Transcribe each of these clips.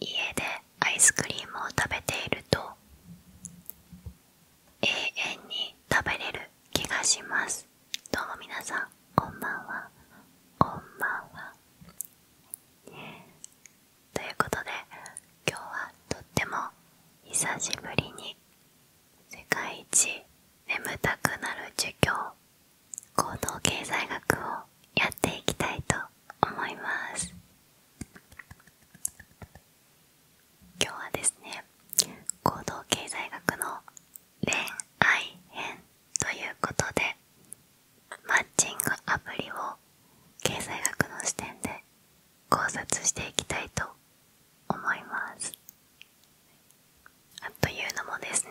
家でアイスクリームを食べていると永遠に食べれる気がしますどうも皆さんこんばんはこんばんはということで今日はとっても久しぶりに世界一眠たくなる授業行動経済学をやっていきたいと思います今日はですね行動経済学の恋愛編ということでマッチングアプリを経済学の視点で考察していきたいと思いますというのもですね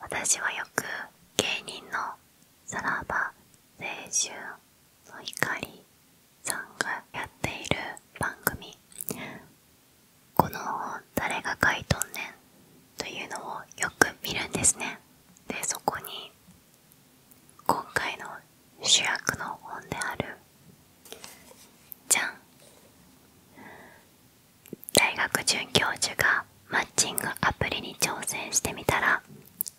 私はよく芸人のさらば青春の光さんがやっている番組「この本誰が書いとんねん」というのをよく見るんですねでそこに今回の主役の本であるじゃん大学准教授がマッチングアプリに挑戦してみたら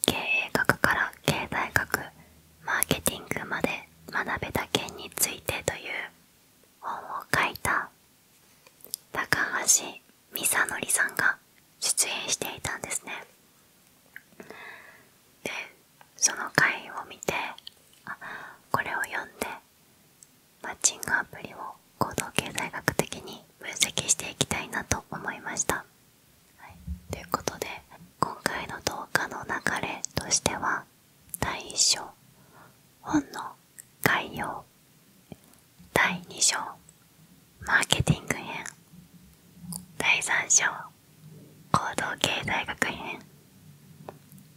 経営学から経済学マーケティングまで学べた件についてという本を書いた高橋美佐則さんが出演していたんですねでその回を見てあこれを読んでマッチングアプリを行動経済学的に分析していきたいなと思いました。ということで今回の動画の流れとしては第1章本の概要第2章マーケティング編第3章行動経済学編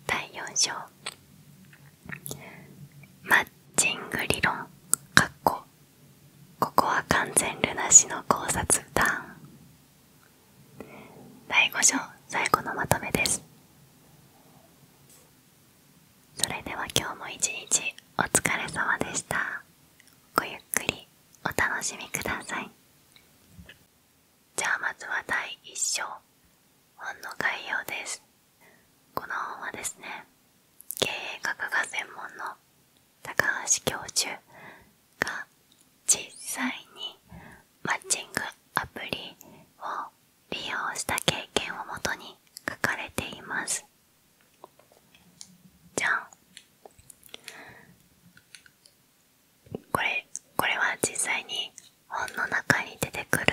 第4章マッチング理論かっこここは完全ルナ氏の考察タ第5章最後のまとめですそれでは今日も一日お疲れ様でしたごゆっくりお楽しみくださいじゃあまずは第1章本の概要ですこの本はですね経営学が専門の高橋教授が実際にマッチングアプリを利用した経験をもとに書かれていますじゃんこれこれは実際に本の中に出てくる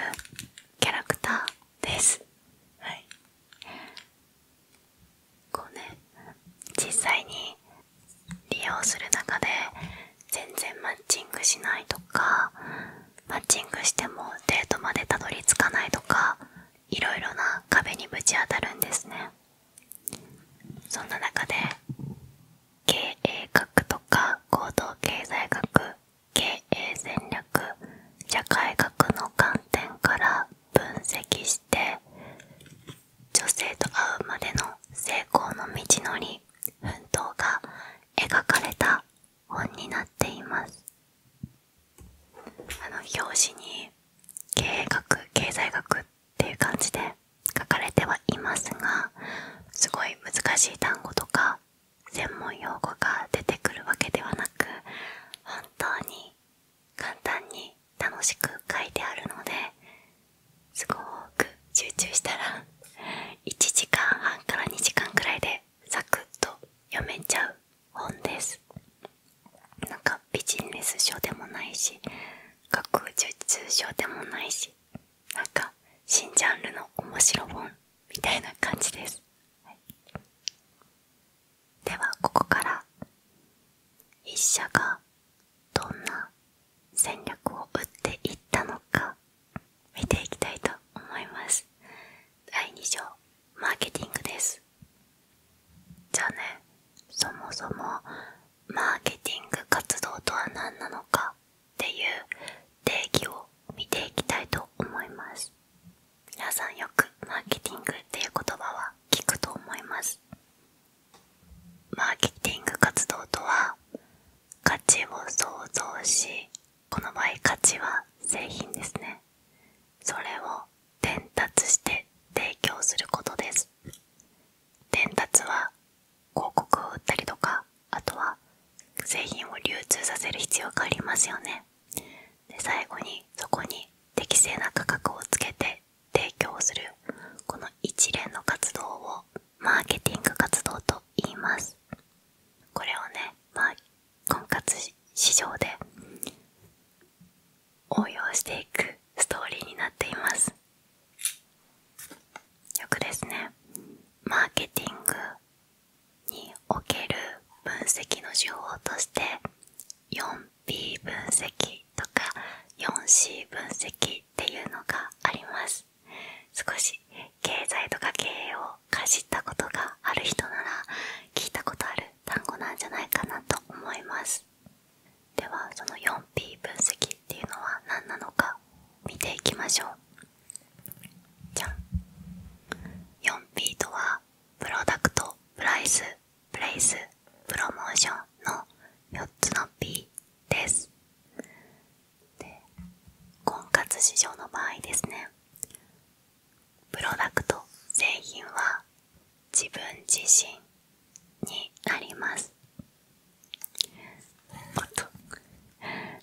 キャラクターですこうね実際に利用する中で全然マッチングしないとかマッチングしてもデートまでたどり着かないとかいろいろな壁にぶち当たるんですねそんな中で経営学とか行動経済学経営戦略社会学の観点から分析して女性と会うまでの成功の道のり奮闘が描かれた本になっていますあの表紙に経営学経済学っていう感じで書かれてはいますがすごい難しい単語とか専門用語が出てくるわけではなく本当に簡単に楽しく書いてあるのですごく集中したら1時間半から2時間くらいでサクッと読めちゃう本ですなんかビジネス書でもないし学術書でもないしなんか新ジャンルの面白本みたいな感じです、ではここから筆社がどんな戦略を打っていったのか見ていきたいと思います第2章マーケティングですじゃあねそもそもマーケティング活動とは何なのかっていう定義を見ていきたいと思います皆さんよくマーケティングっていう言葉は聞くと思いますマーケティング活動とは価値を創造しこの場合価値は製品ですねそれを伝達して提供することです伝達は広告を売ったりとかあとは製品を流通させる必要がありますよねで最後にそこに適正な価格をつけて提供するこの一連の活動をマーケティング活動と言いますこれをね、まあ、婚活市場で応用していくストーリーになっていますよくですねマーケティングにおける分析の手法として 4P 分析とか 4C 分析っていうのがあります少し経済とか経営をかじったことがある人なら聞いたことある単語なんじゃないかなと思いますではその 4P 分析っていうのは何なのか見ていきましょう 4P とはプロダクトプライスプレイスプロモーションの4つの P です婚活市場の場合ですねプロダクト製品は自分自身になります。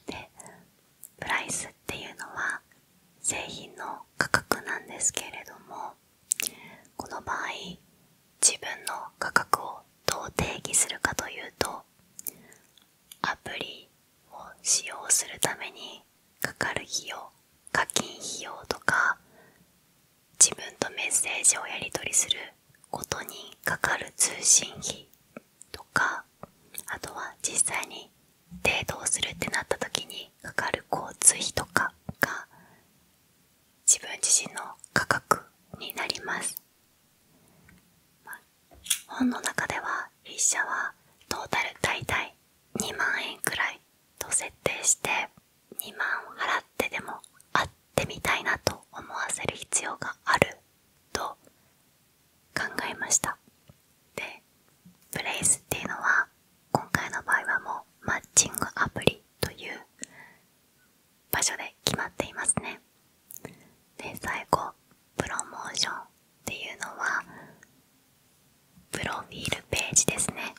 でプライスっていうのは製品の価格なんですけれどもこの場合自分の価格をどう定義するかというとアプリを使用するためにかかる費用課金費用とか自分とメッセージをやり取りすることにかかる通信費とかあとは実際にデートをするってなった時にかかる交通費とかが自分自身の価格になります、本の中では筆者はトータル大体2万円くらいと設定して2万払ってでも会ってみたいなと思わせる必要があると考えましたでプレイスっていうのは今回の場合はもうマッチングアプリという場所で決まっていますねで最後プロモーションっていうのはプロフィールページですね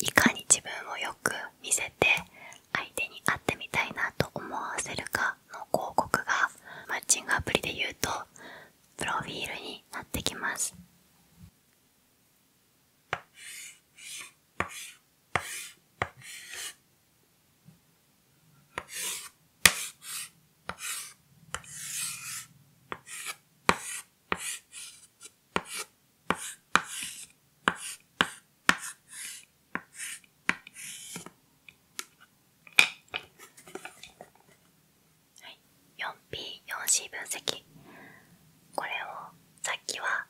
いかに自分をよく見せて相手に会ってみたいなと思わせるかの広告がマッチングアプリで言うとプロフィールになってきます 4P4C 分析これをさっきは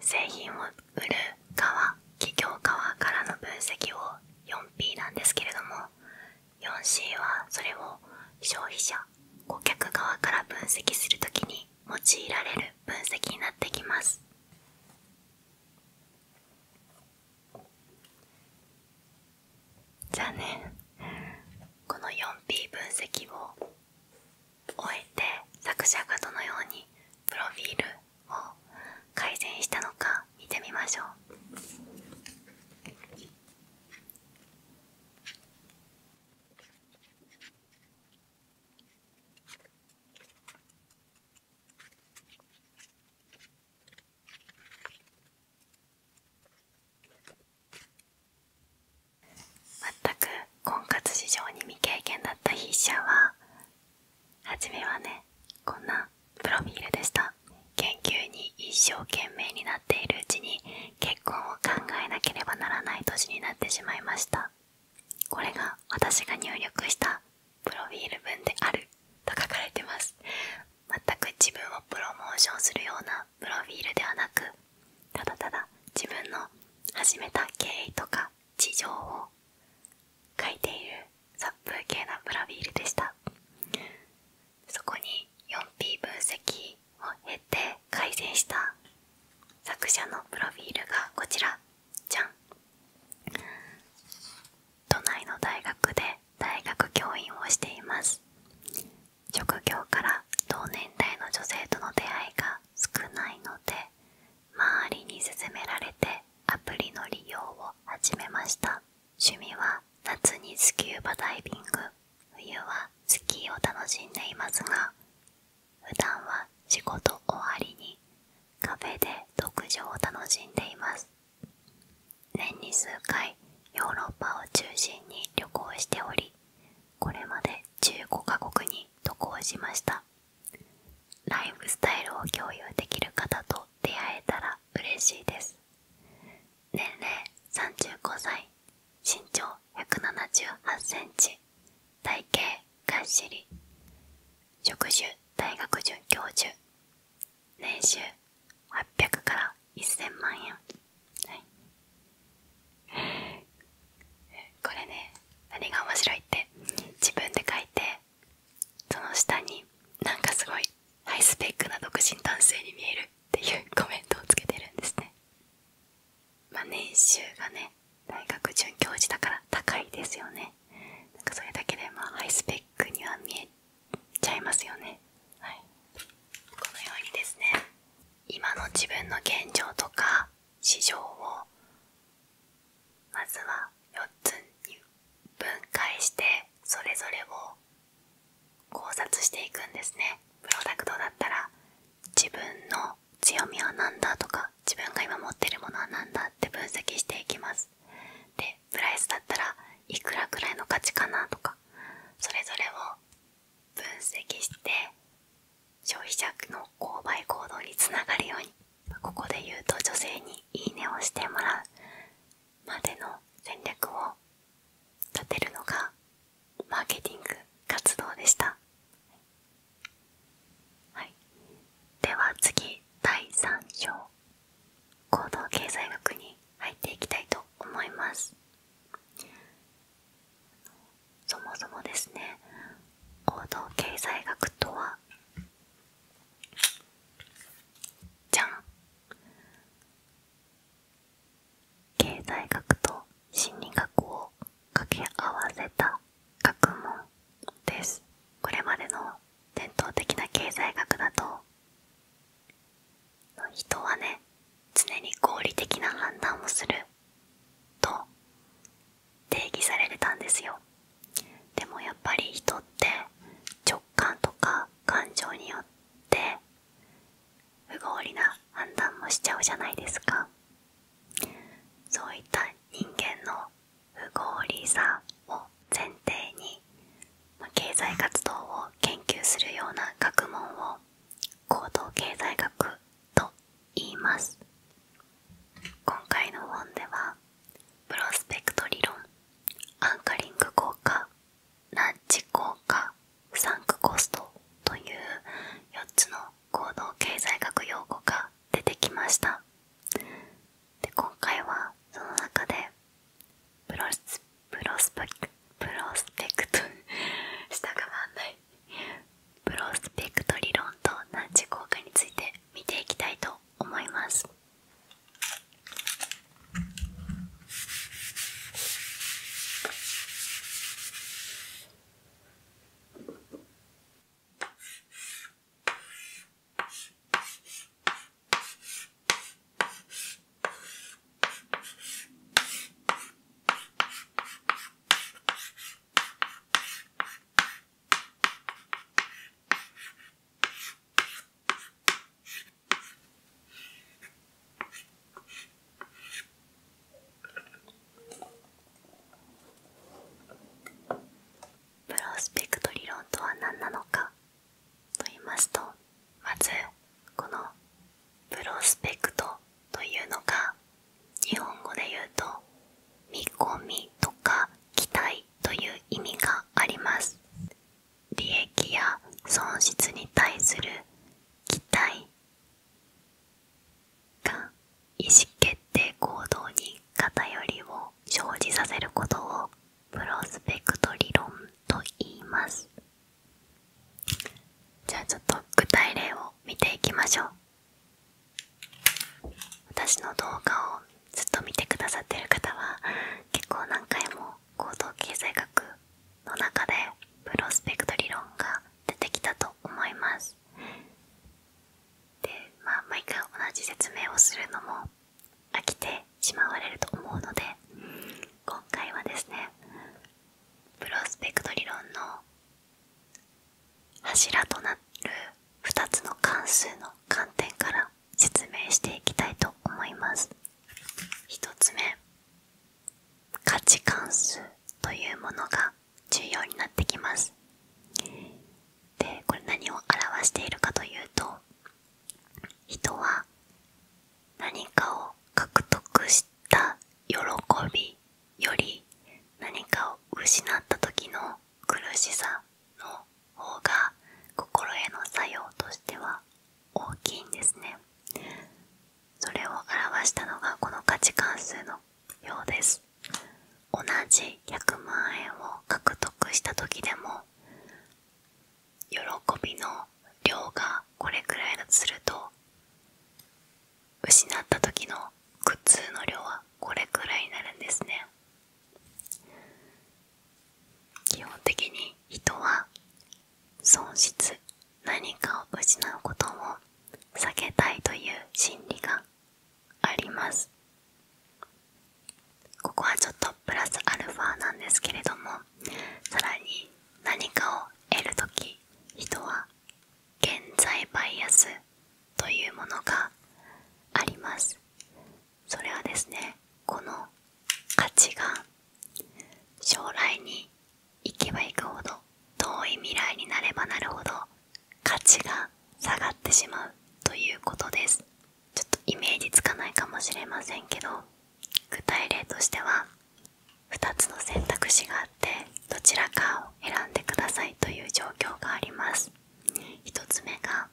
製品を売る側企業側からの分析を 4P なんですけれども 4C はそれを消費者顧客側から分析する時に用いられる分析になってきますじゃあねこの 4P 分析を終えて作者がどのようにプロフィールを改善したのか見てみましょう。全く婚活市場に未経験だった筆者は初めはねこんなプロフィールでした研究に一生懸命になっているうちに結婚を考えなければならない年になってしまいましたこれが私が入力したプロフィール文であると書かれてます全く自分をプロモーションするようなプロフィールではなくただただ自分の始めた経緯とか事情を書いている殺風景なプロフィールでしたそこに 4P 分析を経て改善した作者のプロフィールがこちらじゃん都内の大学で大学教員をしています職業から同年代の女性との出会いが少ないので周りに勧められてアプリの利用を始めました趣味は夏にスキューバダイビング冬はスキーを楽しんでいますが普段は仕事終わりにカフェで読書を楽しんでいます年に数回ヨーロッパを中心に旅行しておりこれまで15カ国に渡航しましたライフスタイルを共有できる方と出会えたら嬉しいです年齢35歳身長178 c m 体型がっしり職種大学准教授年収800から1000万円はい これね何が面白いって自分で書いてその下になんかすごいハイスペックな独身男性に見えるっていう コメントをつけてるんですねまあ年収がね大学准教授だから高いですよねなんかそれだけでまあハイスペックには見えちゃいますよね、はい、このようにですね今の自分の現状とか市場をまずは4つに分解してそれぞれを考察していくんですねプロダクトだったら自分の強みは何だとか自分が今持ってるものは何だって分析していきますプライスだったらいくらくらいの価値かなとかそれぞれを分析して消費者の購買行動につながるようにここで言うと女性に「いいね」をしてもらうまでの戦略を立てるのがマーケティング活動でした、はい、では次第3章行動経済学に入っていきたいと思いますそもそもですね行動経済学とはじゃん経済学と心理学を掛け合わせた学問ですこれまでの伝統的な経済学だと人はね常に合理的な判断をすると定義されてたんですよでもやっぱり人って直感とか感情によって不合理な判断もしちゃうじゃないですかそういった人間の不合理さを前提に、ま経済活動を研究するような学問を行動経済学と言います今回の本ではプロスペクト理論アンカリング効果ランチ効果サンクコストという4つの行動経済学用語が出てきましたで今回はその中でプロスプロスペクプロスペクト下が回んないプロスペクト理論と難治効果について見ていきたいと思いますプロスペクト理論とは何なのかと言いますとまずこのプロスペクトというのが日本語で言うと見込みとか期待という意味があります利益や損失に対する期待が意思決定行動に偏りを生じさせることをプロスペクト理論と言いますじゃあちょっと具体例を見ていきましょう私の動画をずっと見てくださってる方は結構何回も行動経済学の中でプロスペクト理論が出てきたと思いますでまあ毎回同じ説明をするのも飽きてしまわれると思うので今回はですねプロスペクト理論の柱となる2つの関数の観点から説明していきたいと思います1つ目価値関数というものが重要になってきますでこれ何を表しているかというと人は何かを獲得した喜びより何かを失った時の苦しさの方が心への作用としては大きいんですねそれを表したのがこの価値関数のようです同じ100万円を獲得した時でも喜びの量がこれくらいだとすると失った時の苦痛の量はこれくらいになるんですね基本的に人は損失何かを失うことも避けたいという心理がありますここはちょっとプラスアルファなんですけれどもさらに何かを得るとき、人は現在バイアスというものがありますそれはですねこの価値が将来に行けば行くほど遠い未来になればなるほど価値が下がってしまうということですちょっとイメージつかないかもしれませんけど具体例としては2つの選択肢があってどちらかを選んでくださいという状況があります1つ目が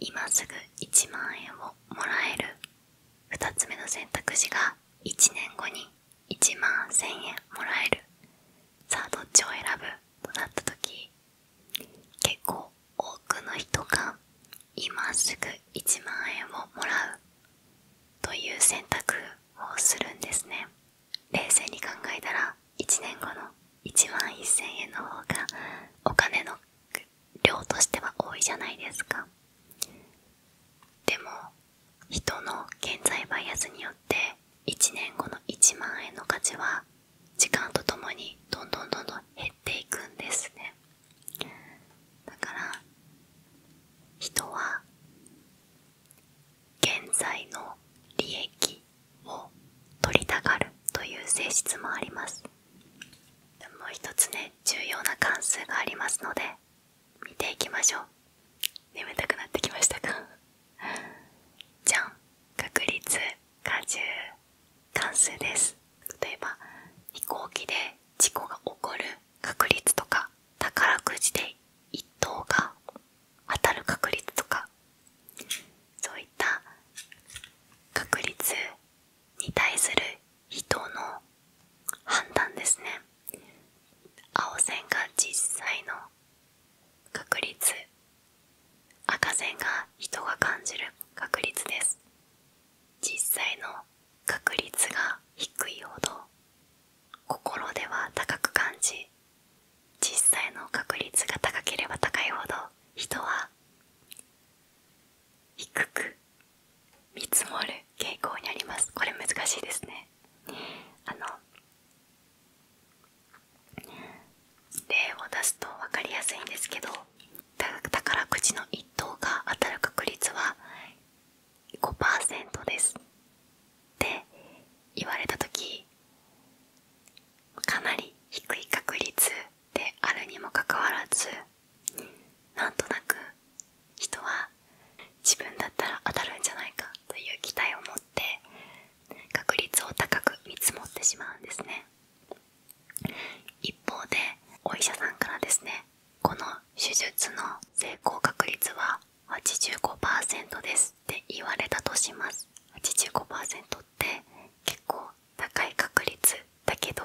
今すぐ1万円をもらえる2つ目の選択肢が1年後に1万1000円もらえるさあどっちを選ぶとなった時結構多くの人が今すぐ1万円をもらうという選択をするんですね冷静に考えたら1年後の1万1000円の方がお金の量としては多いじゃないですかでも人の現在バイアスによって1年後の1万円の価値は時間とともにどんどんどんどん減っていくんですねだから人は現在の利益を取りたがるという性質もありますもう一つね重要な関数がありますので見ていきましょう眠たくなってきましたか じゃん確率果汁関数です例えば飛行機で事故が起こる確率とか宝くじで1等が当たる確率とかそういった確率に対する人の判断ですね青線が実際の確率赤線が人が感じる確率です実際の確率が低いほど心では高く感じ実際の確率が高ければ高いほど人は低く見積もる傾向にありますこれ難しいですねあの例を出すと分かりやすいんですけど宝くじの1等が当たる確率は5%ですって言われた時かなり低い確率であるにもかかわらずなんとなく人は自分だったら当たるんじゃないかという期待を持って確率を高く見積もってしまうんですね。一方でお医者さんからですねこの手術の成功確率は85%ですって言われたとします85%って結構高い確率だけど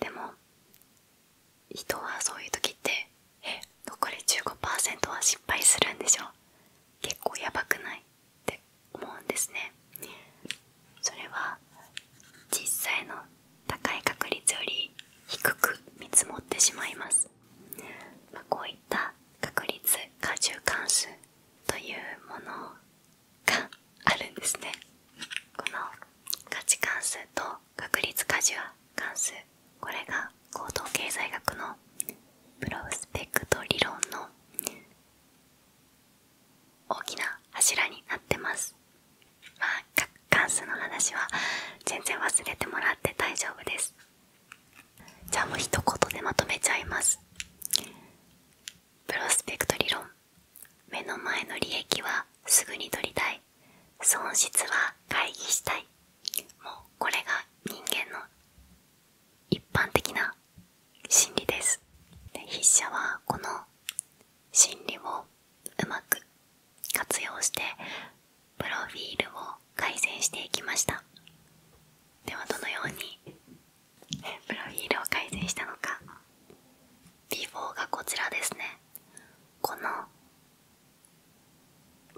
でも人はそういう時ってえ残り15%は失敗するんでしょ結構やばくないって思うんですねそれは実際の高い確率より低く見積もってしまいます、まこういった確率加重関数というものがあるんですねこの価値関数と確率カジ加重関数これが高等経済学のプロスペクト理論の大きな柱になってますまあガンスの話は全然忘れてもらって大丈夫ですじゃあもう一言でまとめちゃいますプロスペクト理論目の前の利益はすぐに取りたい損失は回避したいもうこれが人間の一般的な心理です筆者はこの心理をうまく活用してプロフィールを改善していきましたではどのようにプロフィールを改善したのか B4 がこちらですねこの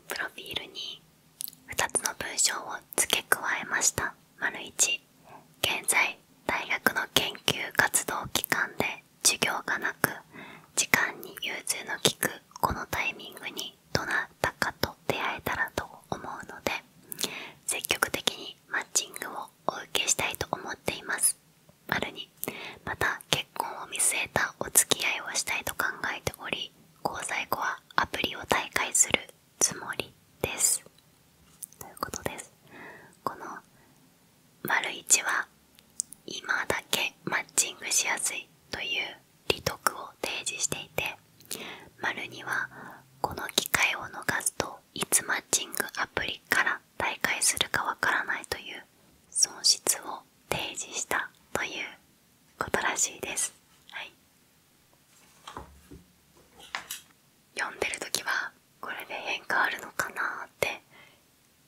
プロフィールに2つの文章を付け加えました丸1現在大学の研究活動期間で授業がなく時間に融通の利くこのタイミングにどなたかと出会えたらと思うので積極的にマッチングをお受けしたいと思っています丸にまた結婚を見据えたお付き合いをしたいと考えており交際後はアプリを退会するつもりですということですこの丸1は今だけマッチングしやすいという利得を提示していて丸2はこの機会を逃すといつマッチングアプリから退会するかわからないという損失を提示したということらしいです。はい、読んでる時はこれで変化あるのかなって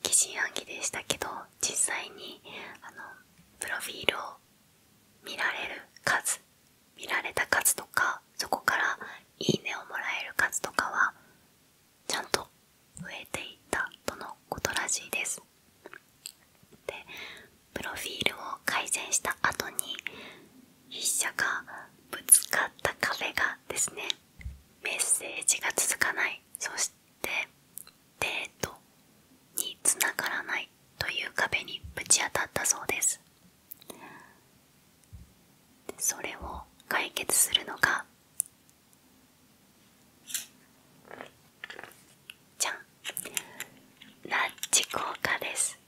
疑心暗鬼でしたけど実際にあのプロフィールを見られる数見られた数とかそこから「いいね」をもらえる数とかはちゃんと増えていったとのことらしいです。でプロフィールを改善した後に筆者がぶつかった壁がですねメッセージが続かないそしてデートにつながらないという壁にぶち当たったそうですそれを解決するのがじゃんラッチ効果です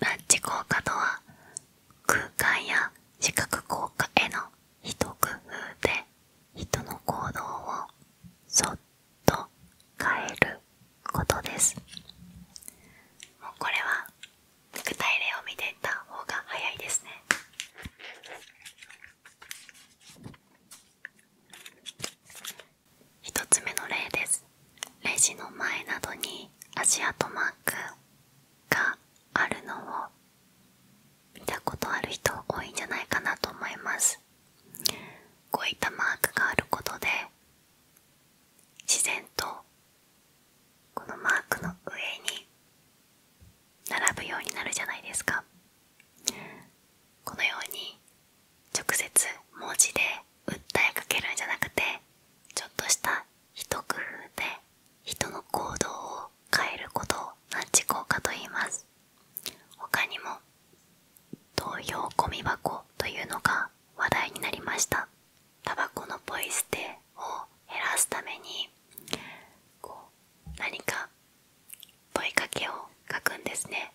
ラッチ効果とは空間や視覚効果への一工夫で人の行動をそっと変えることですもうこれは具体例を見ていた方が早いですね1つ目の例ですレジの前などに足跡マークがあるのを見たことある人多いんじゃないかなと思いますこういったマークがあることで自然とこのマークの上に並ぶようになるじゃないですかこのように直接文字で訴えかけるんじゃなくてちょっとした一工夫で人の行動を変えることを何時効果と言います他にも投票ゴミ箱というのが話題になりましたタバコのポイ捨てを減らすためにこう何か問かけを書くんですね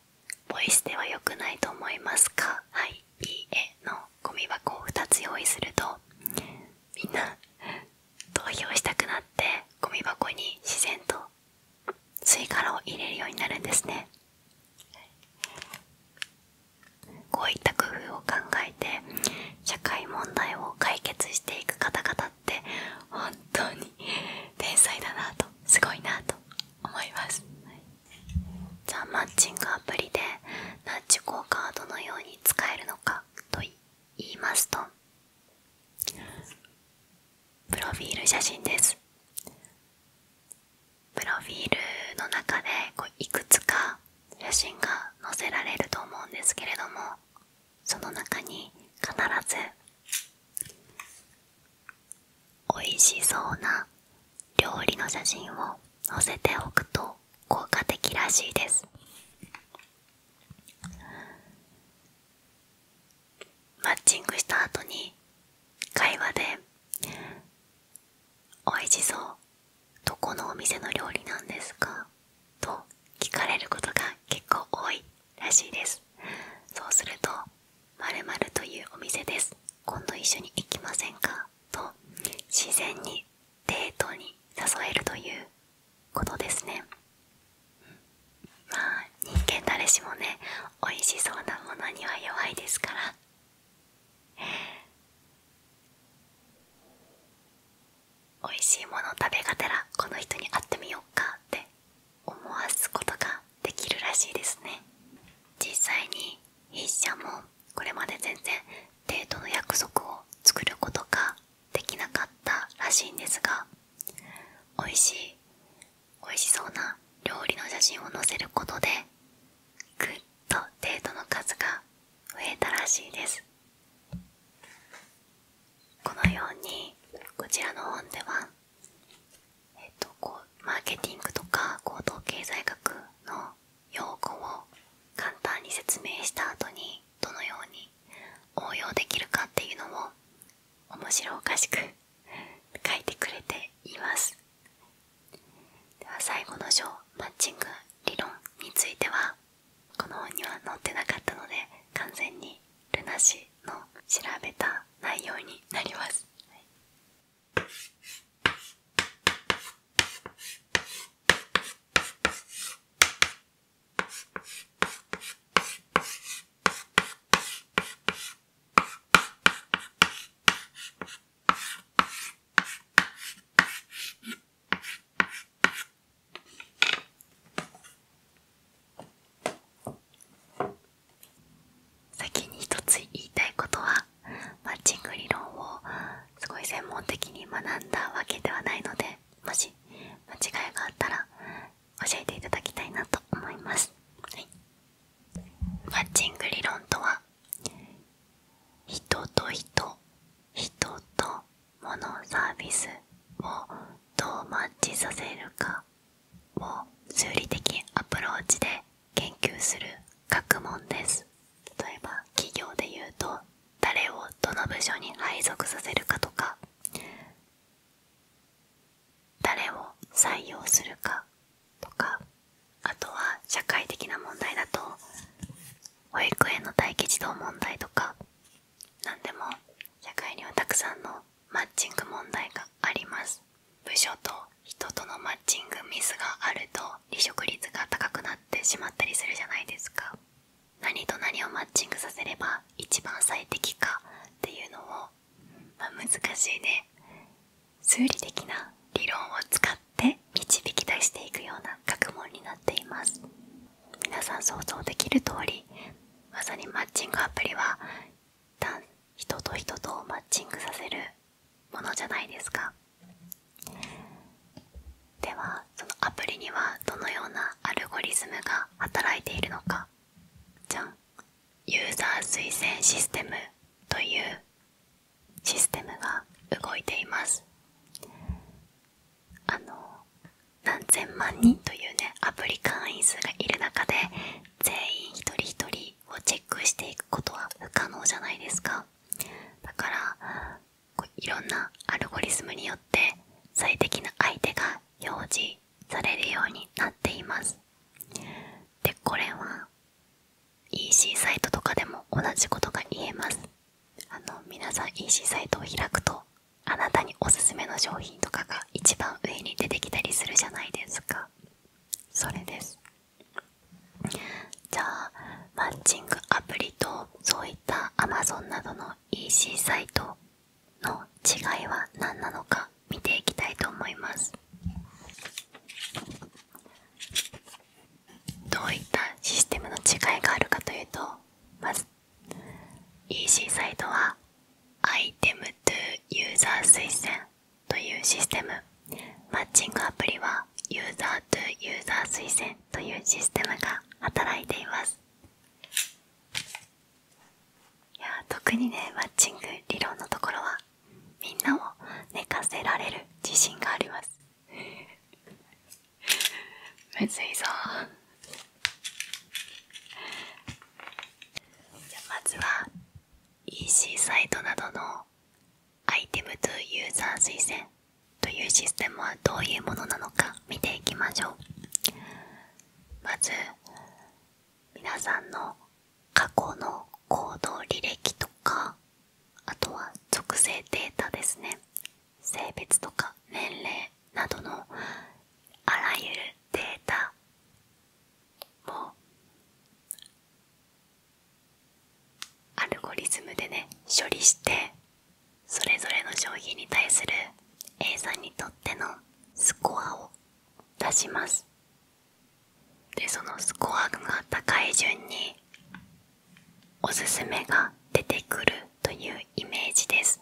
ポイ捨ては良くないと思いますかはい「いいえ」のゴミ箱を2つ用意するとみんな投票したくなってゴミ箱に自然と吸い殻を入れるようになるんですねこういった工夫を考えて社会問題を解決していく方々って本当に天才だなとすごいなと思います、はじゃあマッチングアプリでナッチ効果はどのように使えるのかと言いますとプロフィール写真ですプロフィールの中でこういくつか写真が載せられると思うんですけれどもその中に必ず美味しそうな料理の写真を載せておくと効果的らしいですマッチングした後に会話で「おいしそうどこのお店の料理なんですか?」と聞かれることが結構多いらしいですそうすると「〇〇というお店です今度一緒に行きませんか?」と自然にデートに誘えるということですね、まあ人間誰しもね美味しそうなものには弱いですから美味しいもの食べがてらこの人に会ってみよっかって思わすことができるらしいですね実際に筆者もこれまで全然デートの約束を作ることか。できなかったらしいんですが美味しい美味しそうな料理の写真を載せることでぐっとデーの数が増えたらしいですこのようにこちらの本では、えっと、こうマーケティングとか行動経済学の用語を簡単に説明した後にどのように応用できるかっていうのを面白おかしく書いてくれていますでは最後の章マッチング理論についてはこの本には載ってなかったので完全にルナ氏の調べた内容になります、先に一つ言いたいことはマッチング理論をすごい専門的に学んだわけではないのでもし間違いがあったら教えていただきたいなと思います、はい、マッチング理論とは人と人人と物サービスをどうマッチさせるかを数理的アプローチで研究する学問です例えば企業で言うと誰をどの部署に配属させるかとか誰を採用するかとかあとは社会的な問題だと保育園の待機児童問題とか何でも社会にはたくさんのマッチング問題があります部署と人とのマッチングミスがあると離職率が高くなってしまったりするじゃないですか何と何をマッチングさせれば一番最適かっていうのを、まあ、難しいね数理的な理論を使って導き出していくような学問になっています皆さん想像できる通りまさにマッチングアプリは人と人とをマッチングさせるものじゃないですかではそのアプリにはどのようなアルゴリズムが働いているのかじゃんユーザー推薦システムというシステムが動いていますあの何千万人というねアプリ会員数がいる中で全員一人一人をチェックしていくことは不可能じゃないですかだからいろんなアルゴリズムによって最適な相手が表示されるようになっていますでこれは EC サイトとかでも同じことが言えますあの皆さん EC サイトを開くとあなたにおすすめの商品とかが一番上に出てきたりするじゃないですかそれですじゃあマッチングアプリとそういった Amazon などの EC サイトの違いは何なのか見ていきたいと思いますどういったシステムの違いがあるかというとまず EC サイトはアイテムトゥユーザー推薦というシステムマッチングアプリはユーザー to ユーザー推薦というシステムが働いていますいや特にねマッチング理論のところはみんなを寝かせられる自信があります むずいぞじゃまずは EC サイトなどのアイテムトゥユーザー推薦というシステムはどういうものなのか見ていきましょうまず皆さんの過去の行動履歴とかあとは属性データですね性別とか年齢などのあらゆるデータも。アルゴリズムでね処理してそれぞれの商品に対する A さんにとってのスコアを出しますでそのスコアが高い順におすすめが出てくるというイメージです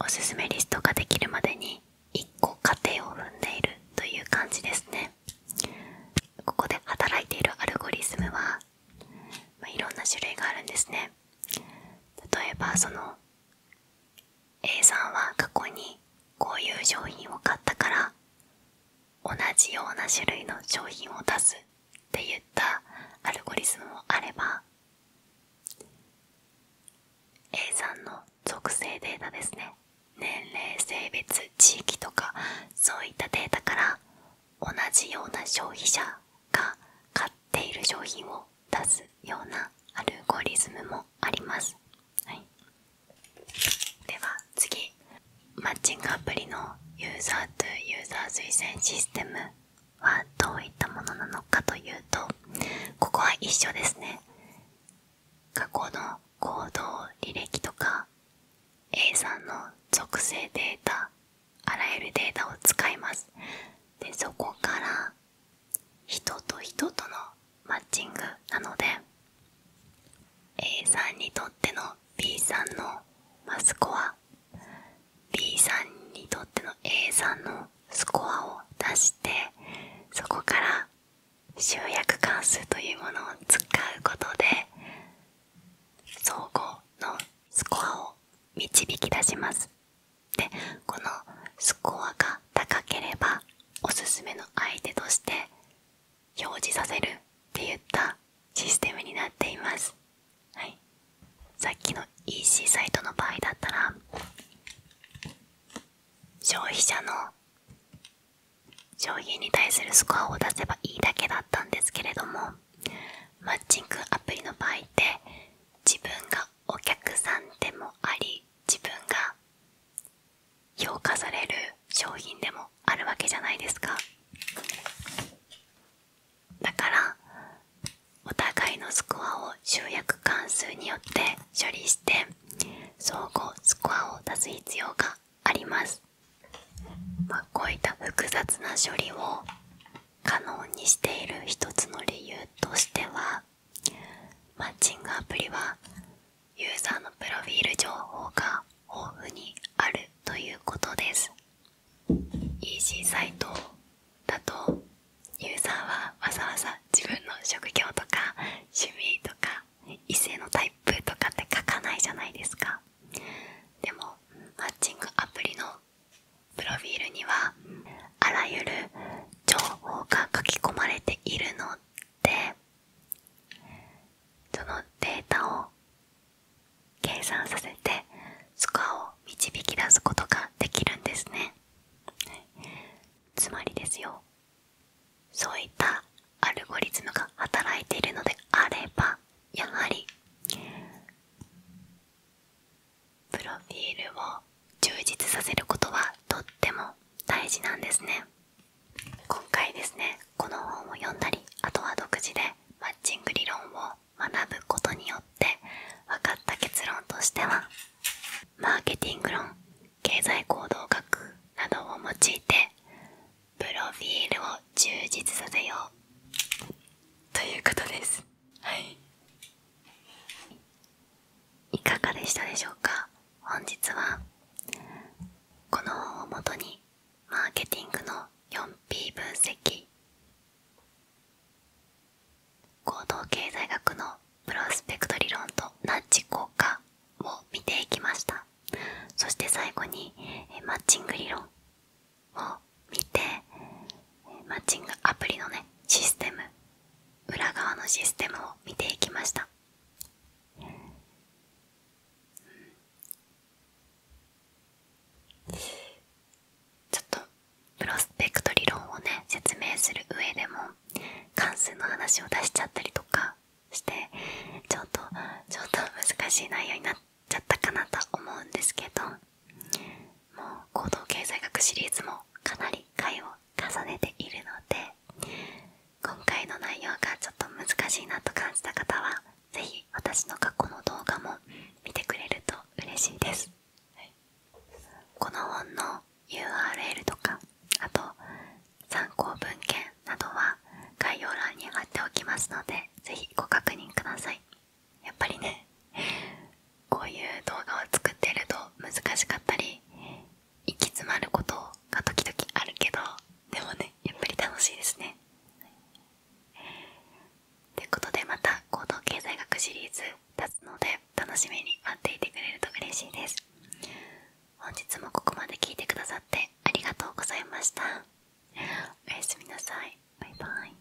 おすすめリストができるまでに1個過程を踏んでいるという感じですねここで働いているアルゴリズムは、まいろんな種類があるんですね例えばその A さんは過去にこういう商品を買ったから同じような種類の商品を出すって言ったアルゴリズムもあれば A さんの属性データですね年齢性別地域とかそういったデータから同じような消費者が買っている商品を出すようなアルゴリズムもあります、はい、では次マッチングアプリのユーザーとユーザー推薦システムはどういったものなのかというとここは一緒ですね過去の行動履歴とか A さんの属性データあらゆるデータを使いますでそこから人と人とのマッチングなので A さんにとっての B さんのまスコア B さんにとっての A さんのスコアを出してそこから集約関数というものを使うことで相互のスコアを導き出しますでこのスコアが高ければおすすめの相手として表示させるっていったシステムになっています、はい、さっきの EC サイトの場合だったら消費者の商品に対するスコアを出せばいいだけだったんですけれどもマッチングアプリの場合って自分がお客さんでもあり自分が評価される商品でもあるわけじゃないですかだからお互いのスコアを集約関数によって処理して相互スコアを出す必要があります、まあ、こういった複雑な処理を可能にしている一つの理由としてはマッチングアプリはユーザーのプロフィール情報が豊富にあるということです EC サイトだとユーザーはわざわざ自分の職業とか趣味とか異性のタイプとかって書かないじゃないですかでもマッチングアプリのプロフィールにはあらゆる情報が書き込まれているのでそのデータを計算させてスコアを導き出すことができるんですねつまりですよそういったアルゴリズムが働いているのであればやはりプロフィールを充実させることはとっても大事なんですね今回ですねこの本を読んだりあとは独自でマッチング理論を学ぶことによって分かった結論としてはマーケティング論経済行動学などを用いてプロフィールを充実させようということですはいいかがでしたでしょうか本日はこの本をもとにマーケティングの 4P 分析行動経済学のプロスペクト理論とナッジ効果を見ていきましたそして最後にマッチング理論を見てマッチングアプリのねシステム裏側のシステムを見ていきました、ちょっとプロスペクト理論をね説明する上でも関数の話を出しちゃったりとかしてちょっとちょっと難しい内容になっちゃったかなと思うんですけどもう行動経済学シリーズもかなり回を重ねているので今回の内容がちょっと難しいなと感じた方は是非私の過去の動画も見てくれると嬉しいです、この本の URL とかあと参考文献などは概要欄に貼っておきますので是非ご確認くださいやっぱりねこういう動画を作ってると難しかったり行き詰まることが時々あるけどでもねやっぱり楽しいですね。ということでまた行動経済学シリーズ立つので楽しみに待っていてくれると嬉しいです。本日もここまで聞いてくださってありがとうございました。おやすみなさい。バイバイ。